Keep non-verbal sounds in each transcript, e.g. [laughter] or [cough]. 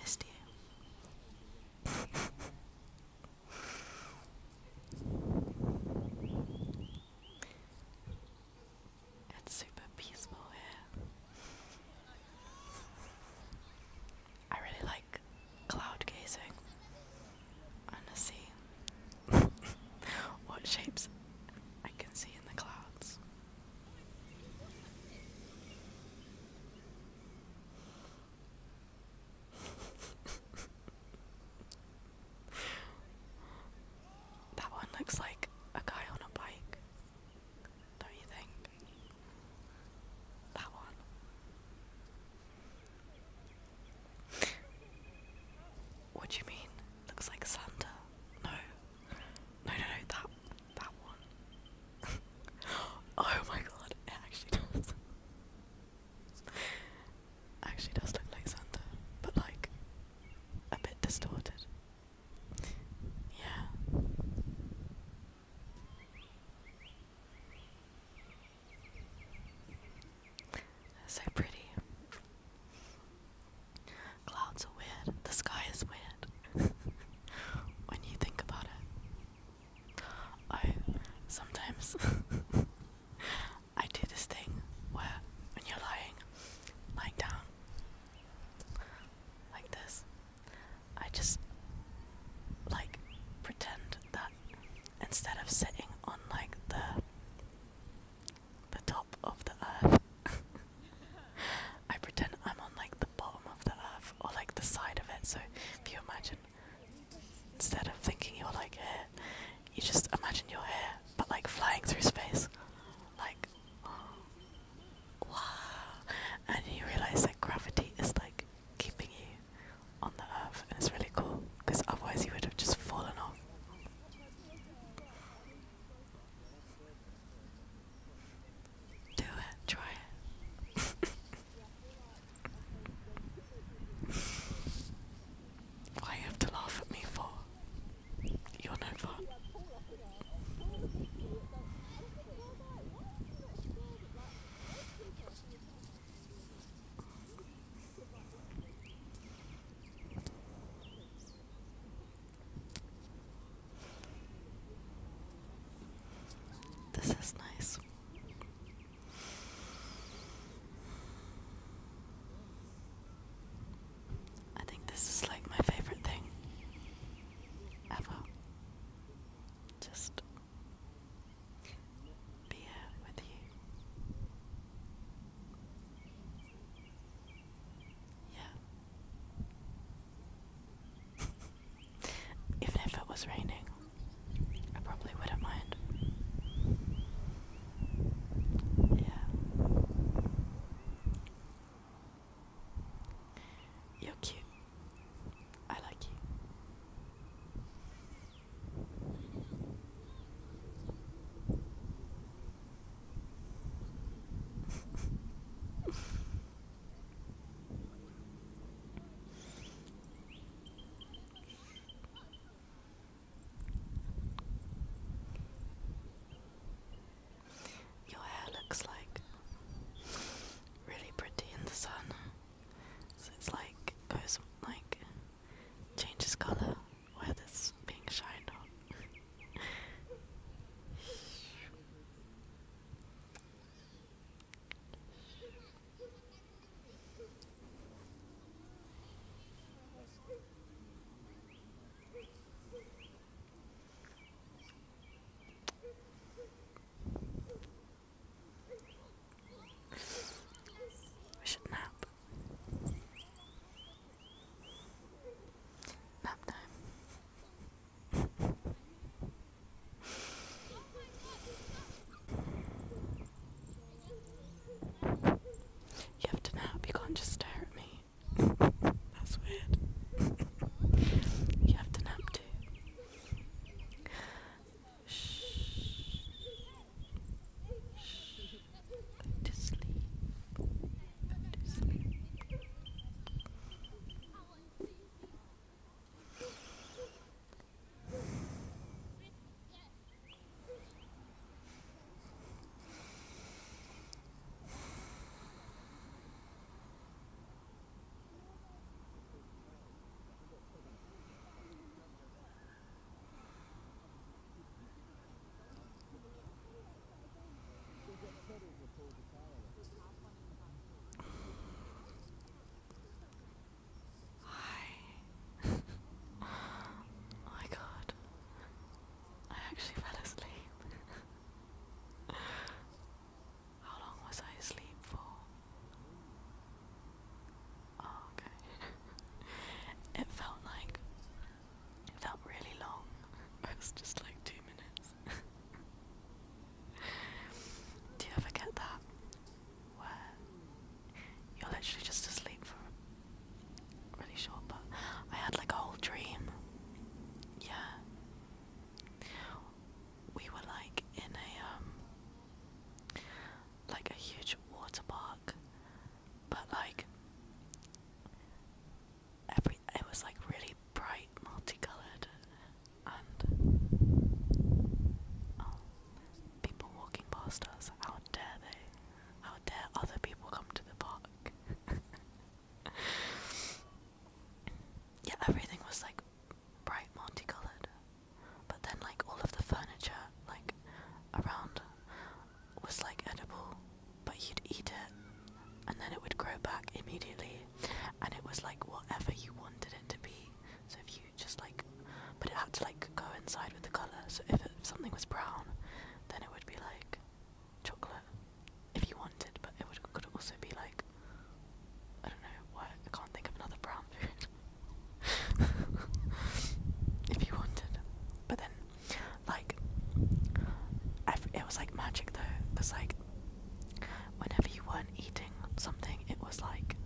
Missed you. It's super peaceful here. I really like cloud gazing. wanna [laughs] see what shapes I can see in the clouds. [laughs] that one looks like a guy on a bike, don't you think? That one. what do you mean? Looks like Santa. No. No, no, no, that that one. [laughs] oh my god, it actually [laughs] does. actually does look like Santa, but like a bit distorted. Yeah. so pretty. Clouds the sky is weird. [laughs] when you think about it. I oh, sometimes [laughs] I do this thing where when you're lying, lying down like this, I just like pretend that instead of sitting on like the the top of the earth [laughs] I pretend I'm on like the bottom of the earth or like the side of it. So if you imagine, instead of thinking you're like here, you just imagine you're here, but like flying through space. Like, wow. And you realize that gravity is like keeping you on the earth, and it's really cool because otherwise you would have just fallen off. Do it, try it. Why you have to laugh at me for? You're no fun. This is nice. I think this is like my favorite thing ever. Just be here with you. Yeah. [laughs] Even if it was raining, I probably wouldn't mind. Yeah. You're cute. I like you. Your hair looks like really pretty in the sun. So it's like goes like changes colour where this being shined on. We should nap. Nap time. You have to nap, you can't just stare at me. [laughs] That's weird. you have to nap too. Shh. Shh. Go to sleep. Go to sleep. Hi. [laughs] Oh my god. I actually fell asleep. [laughs] How long was I asleep for? Oh, okay. [laughs] it felt like it felt really long. [laughs] It was just like two minutes. [laughs] Do you ever get that? Where you're literally just asleep for really short, but I had like a whole dream. Yeah. We were like in a um like a huge water park, but like every it was like really bright, multicolored, and oh, people walking past us. How dare they? How dare other people come to the park? [laughs] yeah, everything was like bright, multicolored. But then, like, all of the furniture, like, around was like edible, but you'd eat it and then it would grow back immediately. And it was like whatever you wanted it to be. So if you just like, but it had to like coincide with the colour. So if, it, if something was brown, then it would be like chocolate if you wanted, but it would, could also be like, I don't know, what, I can't think of another brown food. [laughs] if you wanted. But then, like, it was like magic though, It was like, whenever you weren't eating something, it was like,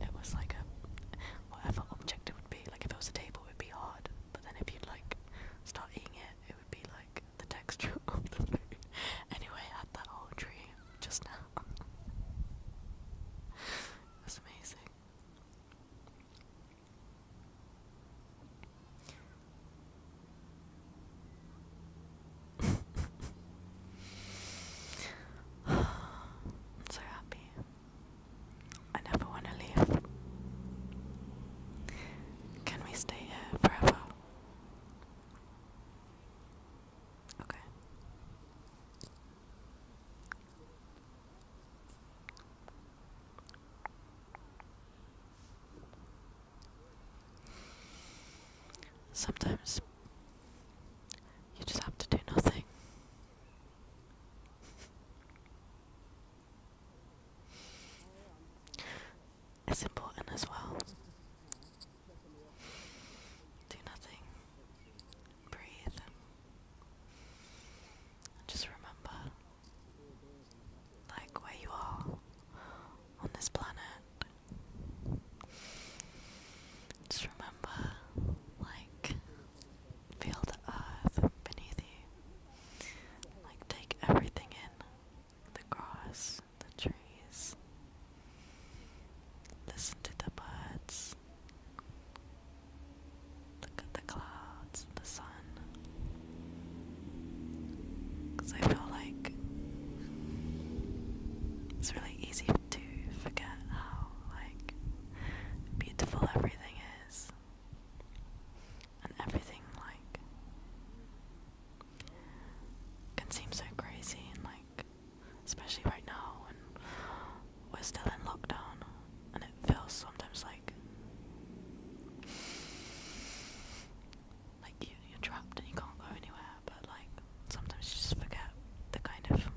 it was like a whatever object it would be. Like, if it was a table, it would be hard. But then, if you'd like start eating it, it would be like the texture [laughs] of the food. anyway, I had that whole tree just now it amazing. I'm so happy. I never want to leave. Can we stay here forever? Sometimes you just have to do nothing. It's important as well do nothing. Breathe. Just remember, like where you are on this planet. Just remember, like, feel the earth beneath you. Like, take everything in the grass, the trees. Listen to the birds. Look at the clouds the sun. Because I feel like it's really easy to forget how like beautiful everything is. And everything like can seem so crazy and like especially right now when we're still in lockdown and it feels sometimes like like you're trapped and you can't go anywhere but like sometimes you just forget the kind of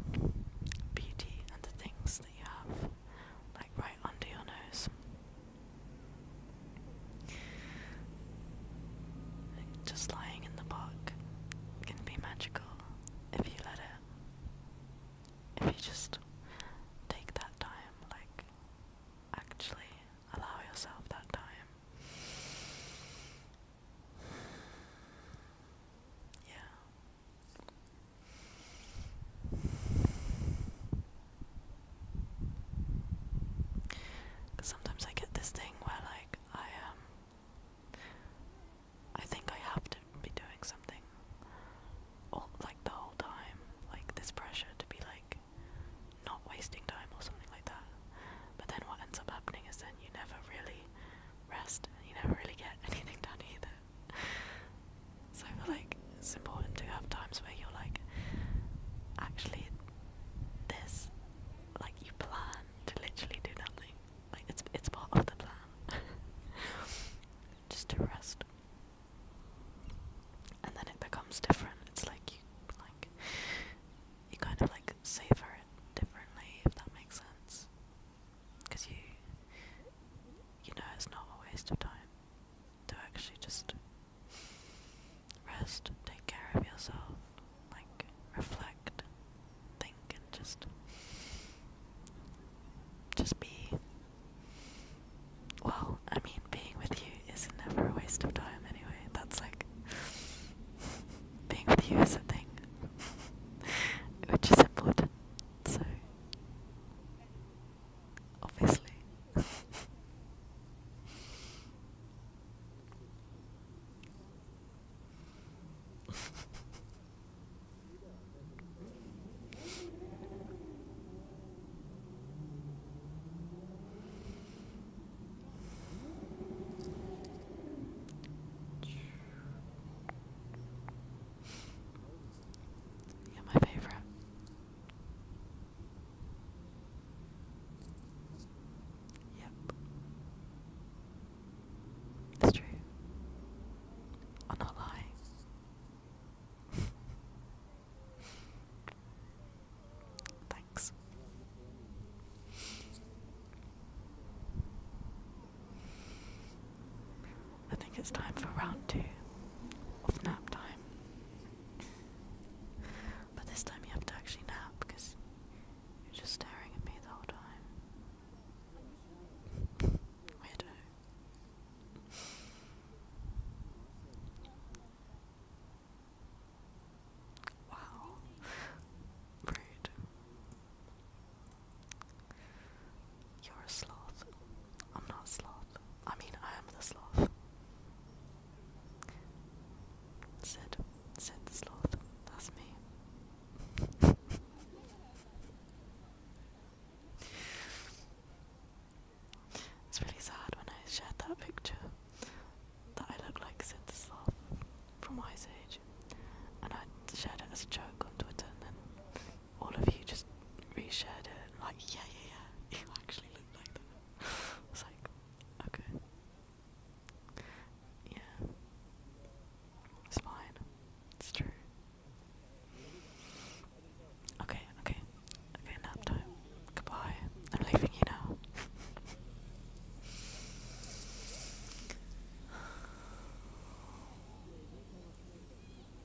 beauty and the things that you have like right under your nose just lying in the park can be magical if you let it. If you just take that time, like actually allow yourself that time. Yeah sometimes I get this thing where like I um I think I have to be doing something all like the whole time. Like this pressure to be like not wasting time or something like that. But then what ends up happening is then you never really rest and you never really get [laughs] anything done either. So I feel like it's important to have times where you're like, actually, this like you plan to literally do nothing. Like it's it's part of the plan. [laughs] Just to rest. And then it becomes different. It's like you like you kind of like savor it differently if that makes sense. Cause you you know it's not a waste of time to actually just Rest, take care of yourself, like reflect, think, and just just be. Well, I mean, being with you is never a waste of time anyway. That's like [laughs] being with you is a thing, [laughs] which is important. So obviously. Yeah, my favorite. Yep. It's true. I'm not lying. [laughs] Thanks. I think it's time for round two of nap time. But this time you have to actually nap because you're just staring at me the whole time. [laughs] Weirdo. Wow. Rude. You're a sloth. I'm not a sloth. I mean, I am the sloth. Sid. Sid the sloth. That's me. [laughs] it's really sad when I shared that picture that I look like Sid the Sloth from my Age and I shared it as a joke on Twitter and then all of you just reshared it. like, yeah, yeah, yeah, [laughs] you actually look like that. [laughs] I like, okay. Yeah. It's fine. It's true. Okay, okay. Okay, nap time. Goodbye. I'm leaving you now. [laughs]